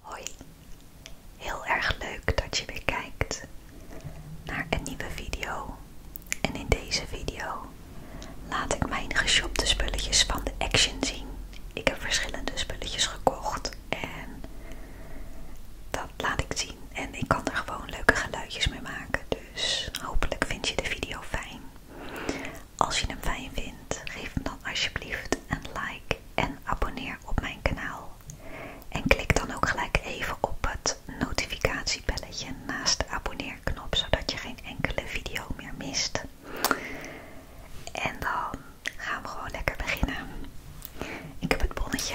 Hoi, heel erg leuk dat je weer kijkt naar een nieuwe video. En in deze video laat ik mijn geshopte spulletjes van de Action zien. Ik heb verschillende spulletjes gekocht en dat laat ik zien. En ik kan er gewoon leuke geluidjes mee maken, dus hopelijk vind je de video fijn. Als je hem fijn vindt, geef hem dan alsjeblieft een like en abonneer op mijn kanaal. En klik dan ook gelijk even op het notificatiebelletje naast de abonneerknop, zodat je geen enkele video meer mist. En dan gaan we gewoon lekker beginnen. Ik heb het bonnetje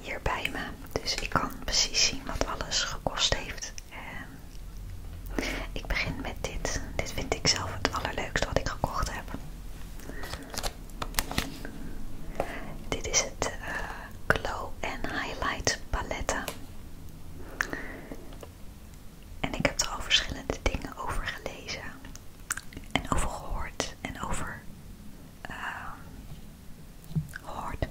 hier bij me, dus ik kan precies zien wat alles gekost heeft. Ehm, ik begin met dit. Dit vind ik zelf het allerleukste wat ik gekocht heb. Dit is het eh, Glow and Highlight paletten. En ik heb er al verschillende dingen over gelezen. En over gehoord. En over ehm, gehoord.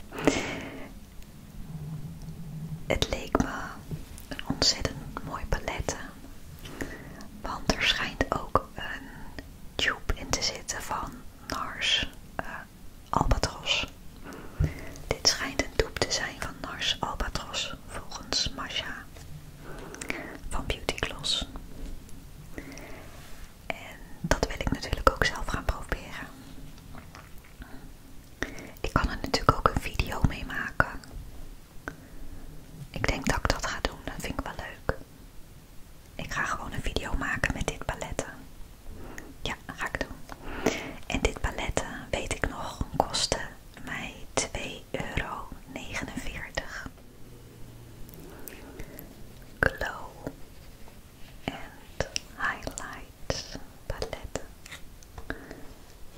Het leek me een ontzettend mooi palet. Want er schijnt ook een tube in te zitten van Nars eh, Albatros. Dit schijnt een tube te zijn van Nars Albatros, volgens Masha van Beauty Gloss. En dat wil ik natuurlijk ook zelf gaan proberen. Ik kan er natuurlijk ook een video mee maken. Ik denk dat ik dat ga doen, dat vind ik wel leuk. Ik ga gewoon een video maken met dit paletten. Ja, ga ik doen. En dit paletten, weet ik nog, kostte mij 2,49 euro. Glow and Highlight paletten.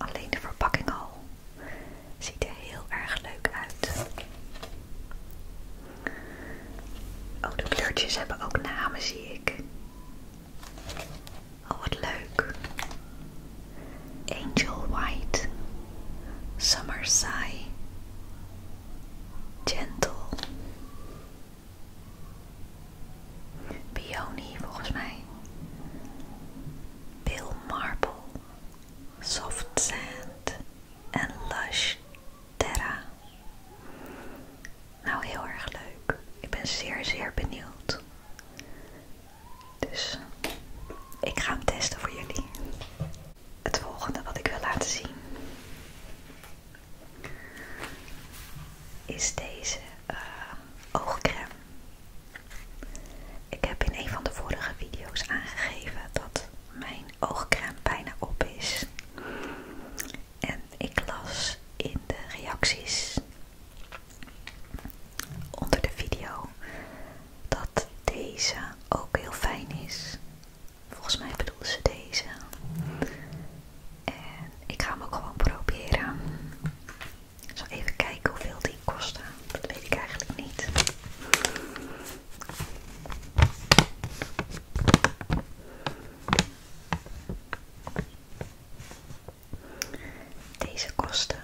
Alleen de verpakking al ziet er heel erg leuk uit. Oh, de kleurtjes hebben ook namen, zie ik. Oh, wat leuk. Angel White, Summer Sigh, Gentle, Peony volgens mij. Bill Marble. Soft Sand. En Lush Terra. Nou, heel erg leuk. Ik ben zeer, zeer benieuwd. Dus ik ga hem testen voor jullie. Het volgende wat ik wil laten zien is deze eh, oogcrème. Ik heb in een van de vorige video's aangegeven dat mijn oogcrème bijna op is. En ik las in de reacties onder de video dat deze ook heel fijn is. Volgens mij bedoelde ze deze. En ik ga hem ook gewoon proberen. Ik zal even kijken hoeveel die kosten. Dat weet ik eigenlijk niet. Deze kosten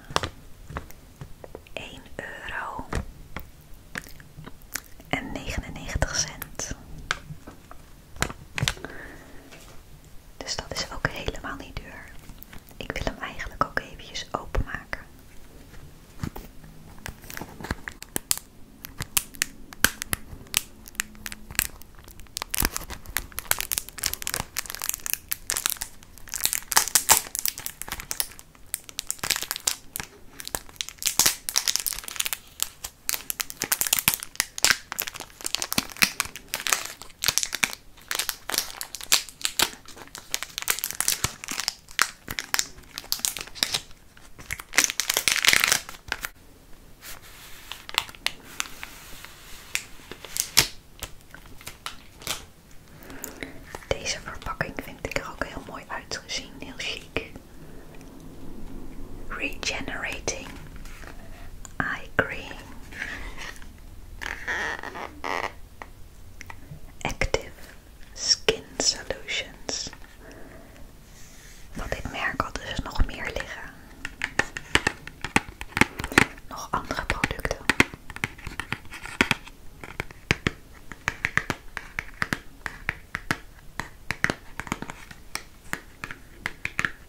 1 euro en 99 cent. Dus dat is ook helemaal niet duur. Ik wil hem eigenlijk ook eventjes openmaken. Deze verpakking vind ik er ook heel mooi uitgezien, heel chic regenerating eye cream, active skin solutions. Wat dit merk had dus nog meer liggen. Nog andere producten.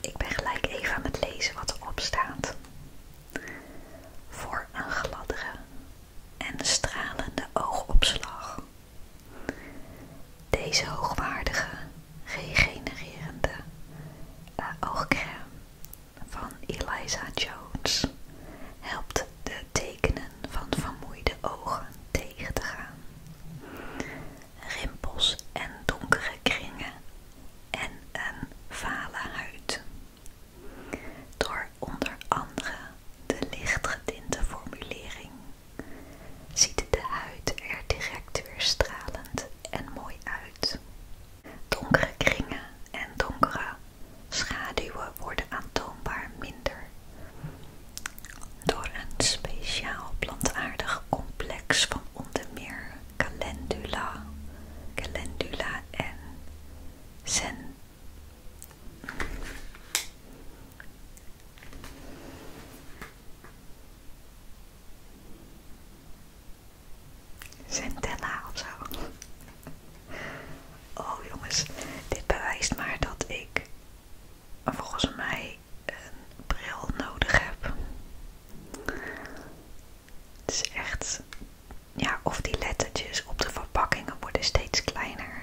Ik ben gelijk even aan het lezen wat erop staat. Voor een gladdere en stralende oogopslag. Deze hoogwaardige, regenererende eh, oogcrème van Eliza Jones helpt de tekenen van vermoeide ogen tegen te gaan, rimpels en donkere kringen en een vale huid. Door onder andere de lichtgedinte formulering ziet de huid er direct weer stralend en mooi uit. Donkere kringen en donkere schaduwen worden aantoonbaar minder door een speciaal plantaardig complex van onder meer calendula, calendula en zen. Centella of zo. Oh jongens, dit bewijst maar dat ik volgens mij een bril nodig heb. Het is echt, ja, of die lettertjes op de verpakkingen worden steeds kleiner,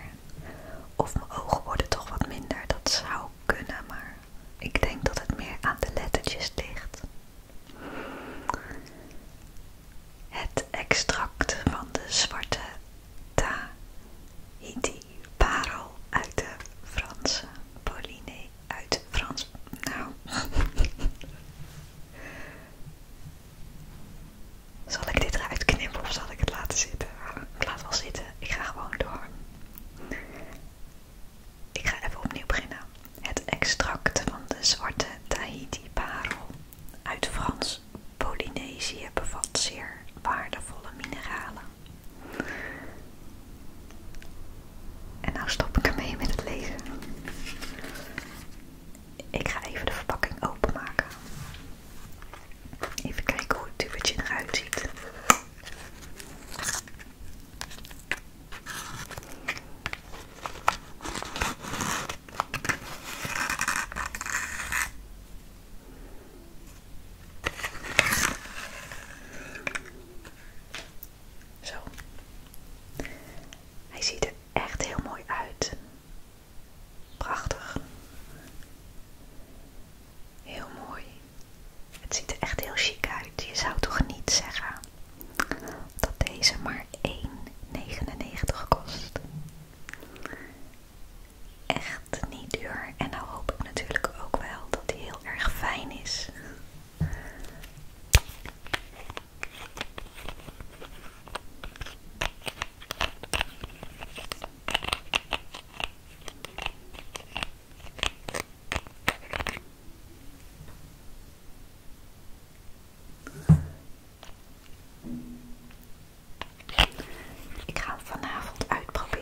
of mijn ogen worden toch wat minder. Dat zou kunnen, maar ik denk dat het meer aan de lettertjes ligt. Het extract van de zwarte Tahiti, parel uit de Franse, Pauline uit Frans. Nou. zal ik dit eruit knippen of zal ik het laten zitten? laat wel zitten, ik ga gewoon door. Ik ga even opnieuw beginnen. Het extract van de zwarte Tahiti parel uit Frans Polynesië bevat zeer waardevolle mineralen. En nou stop ik ermee met het lezen. Ik ga even de verpakking openmaken. Even kijken hoe het duwtje eruit ziet. Zo. Hij ziet er echt heel mooi uit. Prachtig. Heel mooi. Het ziet er echt heel chic uit. Je zou toch niet zeggen dat deze maar 1,99 kost echt niet duur. En nou hoop ik natuurlijk ook wel dat hij heel erg fijn is. Ik ga het vanavond uitproberen.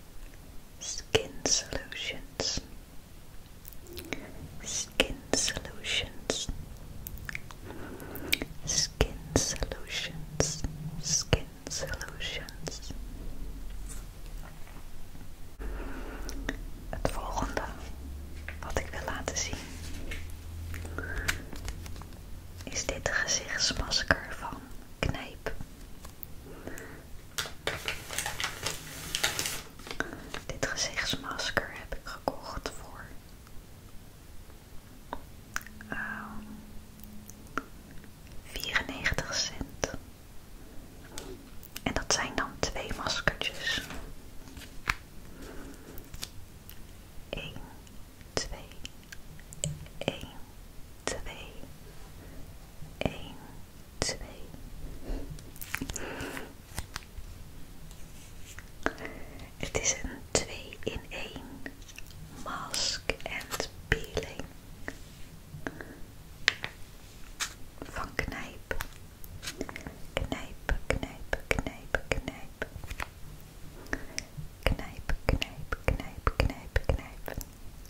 Skin Solutions, Skin Solutions, Skin Solutions, Skin Solutions. Het volgende wat ik wil laten zien is dit gezichtsmasker van Knijp. Dit gezichtsmasker heb ik gekocht voor ehm, cent. En dat zijn dan twee maskertjes. 1, 2, 1, 2, 1, 2. Het is een 2 in 1 mask and peeling van knijp. Knijpen, knijpen, knijpen, knijpen. Knijpen, knijpen, knijpen, knijpen, knijpen.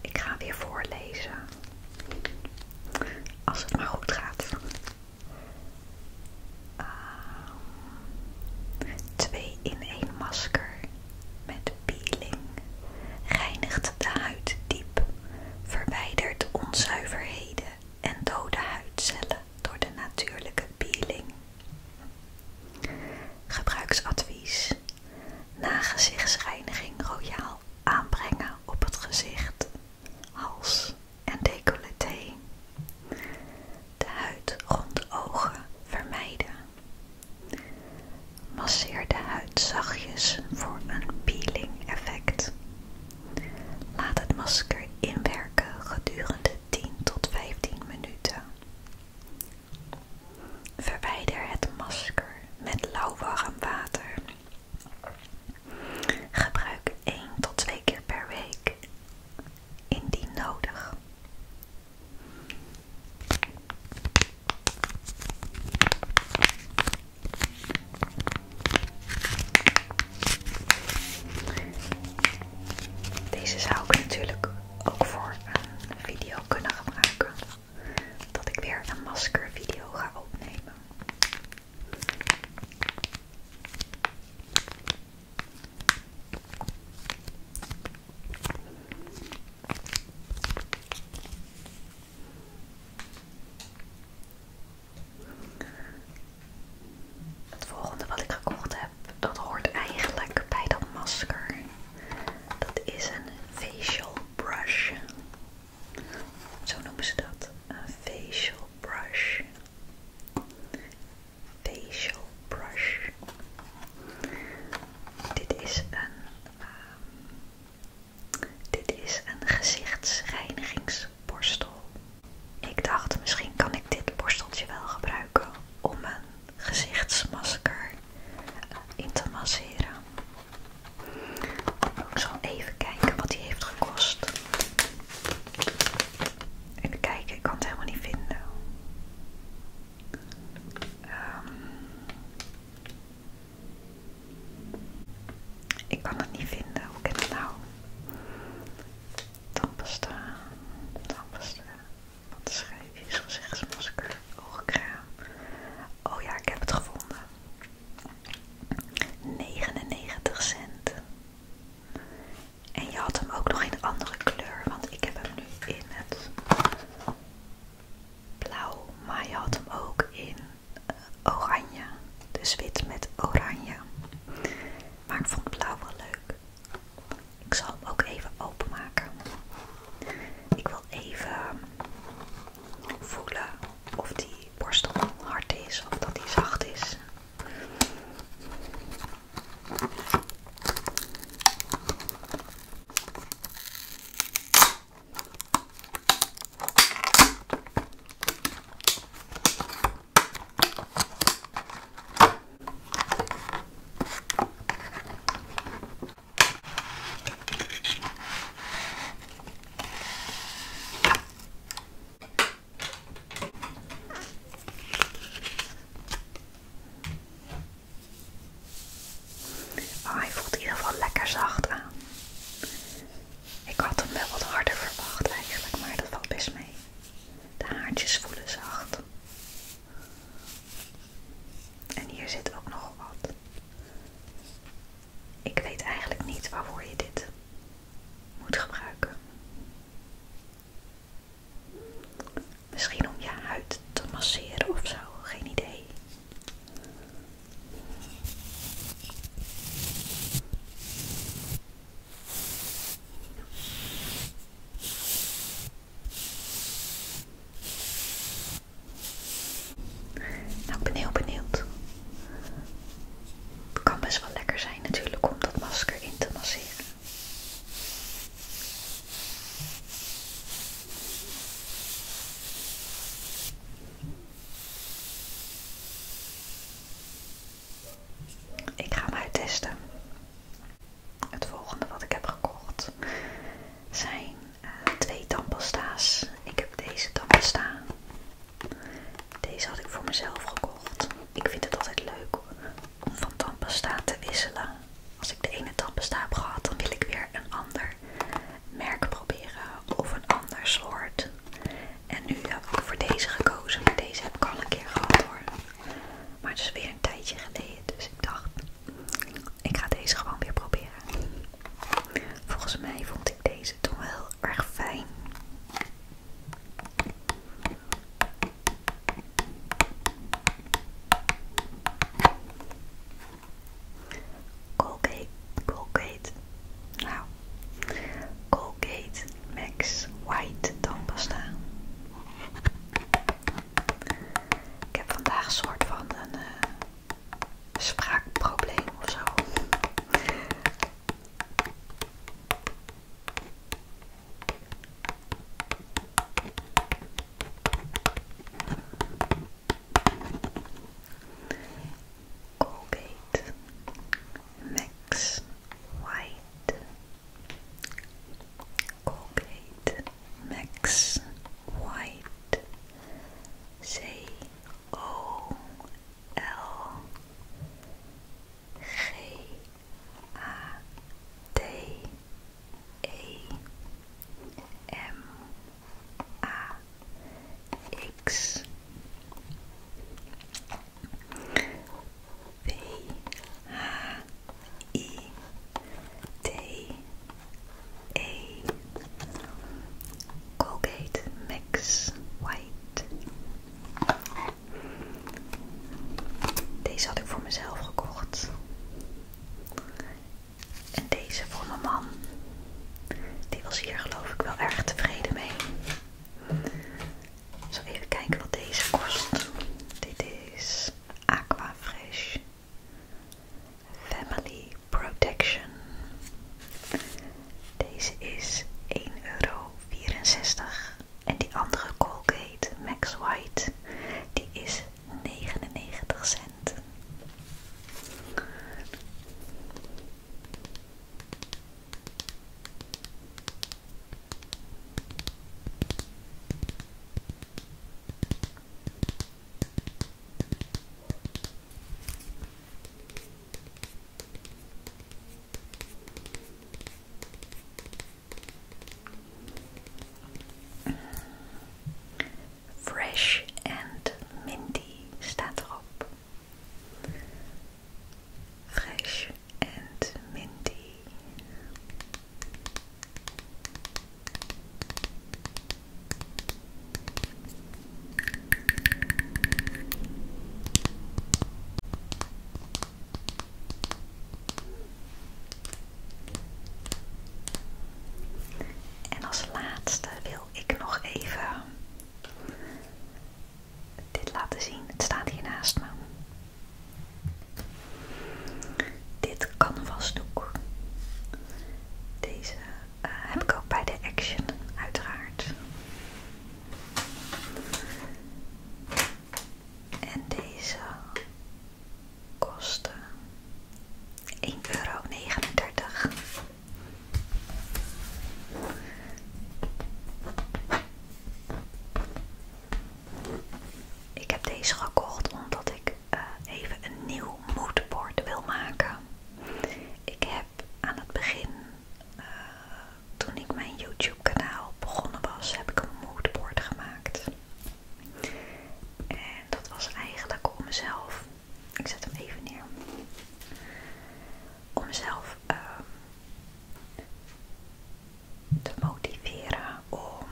Ik ga weer voorlezen. Als het maar goed gaat. Ehm, twee in één masker met peeling reinigt de huid diep, verwijdert onzuiverheden en dode huidcellen door de natuurlijke peeling. Gebruiksadvies: na gezichtsreiniging royaal aanbrengen op het gezicht, hals en decolleté. De huid rond ogen vermijden. Masseer de huid zachtjes voor een peeling effect. Laat het masker inwerken gedurende 10 tot 15 minuten. Verwijder het masker met lauw warm water. Gebruik 1 tot 2 keer per week, indien nodig. Deze zou ik natuurlijk ook voor een video kunnen gebruiken. Dat ik weer een maskervideo ga opnemen. Het volgende wat ik gekocht heb dat hoort eigenlijk bij dat masker. Dat is een facial brush. Zo noemen ze dat. Een facial brush. Facial brush. Dit is een, ehm, dit is een gezichtsreinigingsborstel. Ik dacht misschien kan ik dit borsteltje wel gebruiken om een gezichtsmasker eh, in te masseren. Ik zal even kijken wat die heeft gekost. Even kijken, ik kan het helemaal niet vinden. Ehm, ik kan het niet vinden, hoe kan het nou? Tandpasta, tandpasta, wat is gezegd schrijven is gezichtsmasker, oogcrème. Oh ja, ik heb het gevonden. 99 cent. En je had hem ook nog in een andere kleur, want ik heb hem nu in het blauw. Maar je had hem ook in eh, oranje. Dus wit met oranje. Maar ik vond blauw wel leuk. Ik zal hem ook even openmaken. Ik wil even voelen of die borstel hard is of dat die zacht is. Maar ah, hij voelt in ieder geval lekker zacht aan. Ik had hem wel wat harder verwacht eigenlijk, maar dat valt best mee. De haartjes voelen zacht. En hier zit ook nog wat. Ik weet eigenlijk niet waarvoor je dit moet gebruiken. Misschien om je huid te masseren ofzo, geen idee. Nou, ik ben heel benieuwd. Het kan best wel lekker zijn natuurlijk om dat masker in te masseren. Ik ga hem uittesten. Het volgende wat ik heb gekocht zijn eh, twee tandpasta's. Ik heb deze tandpasta. Deze had ik voor mezelf gekocht. Ik vind het altijd leuk om van tandpasta te wisselen. Als ik de ene tandpasta heb gehad, dan wil ik weer een ander merk proberen of een ander soort. En nu heb ik voor deze gekozen, maar deze heb ik al een keer gehad hoor. Maar het is weer een tijdje geleden, dus ik dacht, ik ga deze gewoon weer proberen. Volgens mij vond ik deze toen wel erg fijn. Colgate, Colgate, nou, Colgate Max White tandpasta. Ik heb vandaag soort van een uh, spraakprobleem of zo. Colgate Max White Colgate Max White C O L G A D E M A X V H I T E Colgate Max White. Deze had ik voor mezelf gekocht. En deze voor mijn man. Die was hier geloof ik wel erg tevreden mee. Zo even kijken wat deze kost. Dit is Aqua Fresh Family Protection. Deze is 1,64 euro. En die andere Colgate Max White, die is 99 cent. Fresh and minty staat erop. Fresh and minty. En als laatste wil ik nog even dit laten zien. Het staat hier naast me. Dit doek Deze eh, heb ik ook bij de Action, uiteraard. En deze kostte 1,39 euro. Ik heb deze gekocht omdat ik eh, even een nieuw moodboard wil maken. Ik heb aan het begin, eh, toen ik mijn YouTube kanaal begonnen was, heb ik een moodboard gemaakt. En dat was eigenlijk om mezelf, ik zet hem even neer, om mezelf ehm, te motiveren om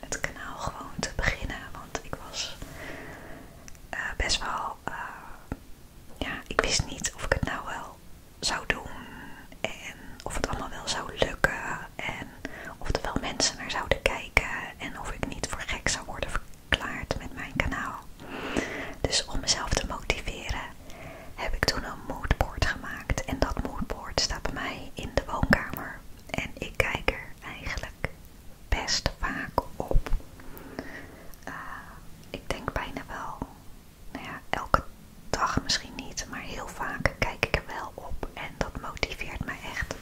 het kanaal gewoon te beginnen. Want ik was eh, best wel. Eh, ja, ik wist niet of ik het nou wel zou doen. En of het allemaal wel zou lukken. En of er wel mensen naar zouden kijken. En of ik niet voor gek zou worden verklaard met mijn kanaal. Dus om mezelf te motiveren heb ik toen een moodboard gemaakt. En dat moodboard staat bij mij in de woonkamer. En ik kijk er eigenlijk best vaak op. Eh, ik denk bijna wel, nou elke dag misschien niet, maar heel vaak kijk ik er wel op. En dat motiveert mij echt.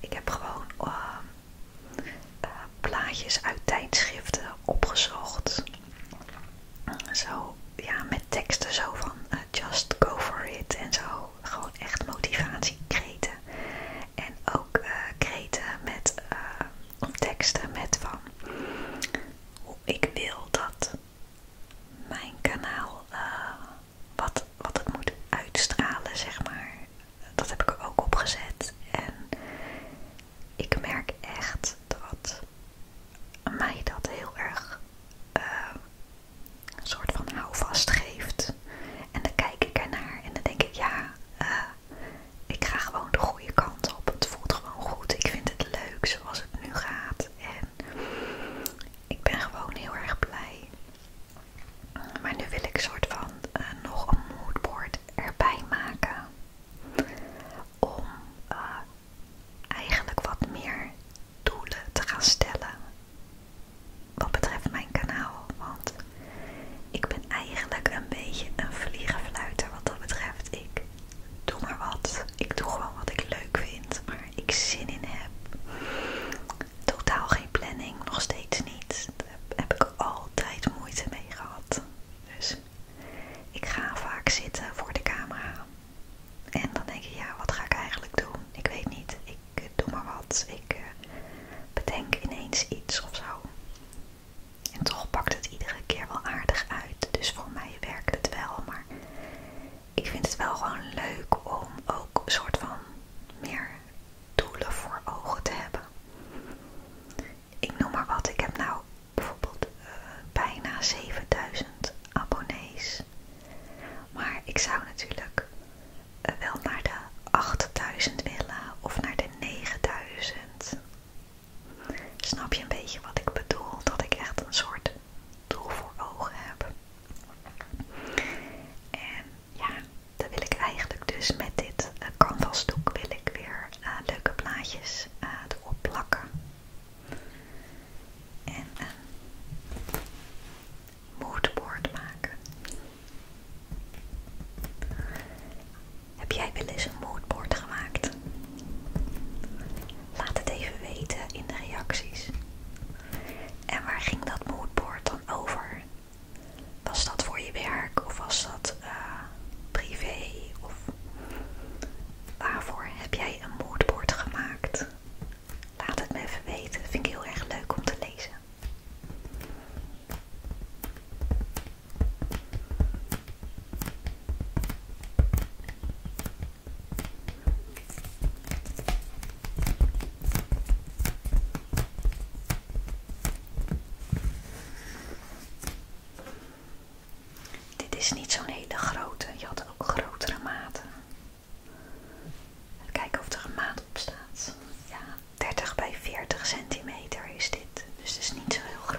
Ik heb gewoon eh, eh, plaatjes uit tijdschriften opgezocht. Zo, ja, met teksten zo van eh, just go for it en zo. Gewoon echt motivatie motivatiekreten. En ook uh, kreten met teksten met van Hoe ik wil dat mijn kanaal wat, wat het moet uitstralen, zeg maar dat heb ik er ook opgezet. En ik merk echt dat mij dat heel erg ehm, een soort van houvast geeft. En dan kijk ik ernaar en dan denk ik, ja, eh, ik ga gewoon de goede kant op. Het voelt gewoon goed. Ik vind het leuk zoals het nu gaat. En ik ben gewoon heel erg blij. Maar nu wil ik een soort van eh, nog een moodboard erbij maken om eh, eigenlijk wat meer doelen te gaan stellen wat betreft mijn kanaal. Want ik ben eigenlijk een beetje een vliegenfluiter wat dat betreft. Ik doe maar wat. Ik doe gewoon wat ik leuk vind, maar ik zin in heb. Totaal geen planning, nog steeds niet. Daar heb ik altijd moeite mee gehad. Dus ik ga vaak zitten voor de camera. En dan denk ik, ja, wat ga ik eigenlijk doen? Ik weet niet. Ik eh, doe maar wat. Ik eh, bedenk ineens iets of zo. En toch pakt het iedere keer wel aardig uit. Dus voor mij werkt het wel. Maar ik vind het wel gewoon leuk om ook een soort van meer doelen voor ogen te hebben ik noem maar wat, ik heb nou bijvoorbeeld eh, bijna 7000 abonnees. Maar ik zou natuurlijk eh, wel naar de 8000 willen of naar de 9000. Snap je een beetje wat ik bedoel? Dat ik echt een soort doel voor ogen heb. En ja, dan wil ik eigenlijk dus met dit eh, canvasdoek wil ik weer eh, leuke plaatjes opplakken eh, erop plakken. En een moodboard maken. Heb jij wel eens een moodboard gemaakt? Laat het even weten in de reacties. En waar ging dat moodboard dan over? Was dat voor je werk of was dat eh, privé? Of waarvoor heb jij een moodboard gemaakt? Laat het me even weten. Vind ik heel erg leuk om te lezen. Dit is niet zo'n hele grote, je had ook grotere maten. Even kijken of er een maat op staat. Ja, 30 bij 40 centimeter is dit, dus het is niet zo heel groot.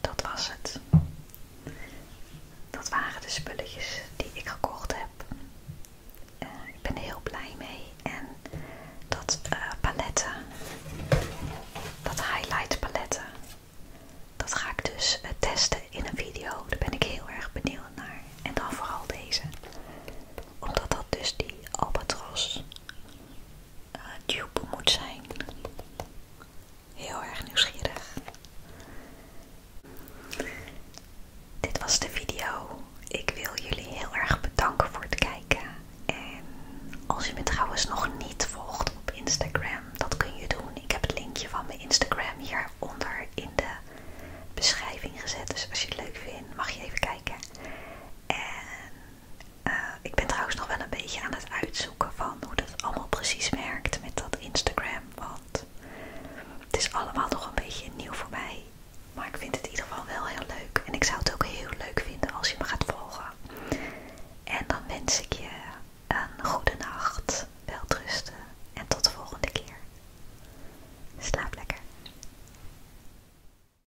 Dat was het. Dat waren de spulletjes die ik gekocht heb. Eh, ik ben er heel blij mee. En dat uh, paletten, dat highlight paletten, dat ga ik dus eh, testen in een video. Daar ben ik heel erg benieuwd naar. En dan vooral deze. Omdat dat dus die albatros eh, dupe moet zijn. Heel erg nieuwsgierig. Dit was de video. Ik wil jullie heel erg bedanken voor het kijken. En als je me trouwens nog niet volgt op Instagram, dat kun je doen. Ik heb het linkje van mijn Instagram hieronder in de beschrijving gezet. Dus als je het leuk vindt, mag je even kijken. En eh, ik ben trouwens nog wel een beetje aan het uitzoeken van hoe dat allemaal precies werkt met dat Instagram. Want het is allemaal nog een beetje nieuw voor mij. Maar ik vind het in ieder geval wel heel leuk. En ik zou het ook heel leuk vinden als je me gaat volgen. En dan wens ik je een goede nacht, weltrusten en tot de volgende keer. Slaap lekker.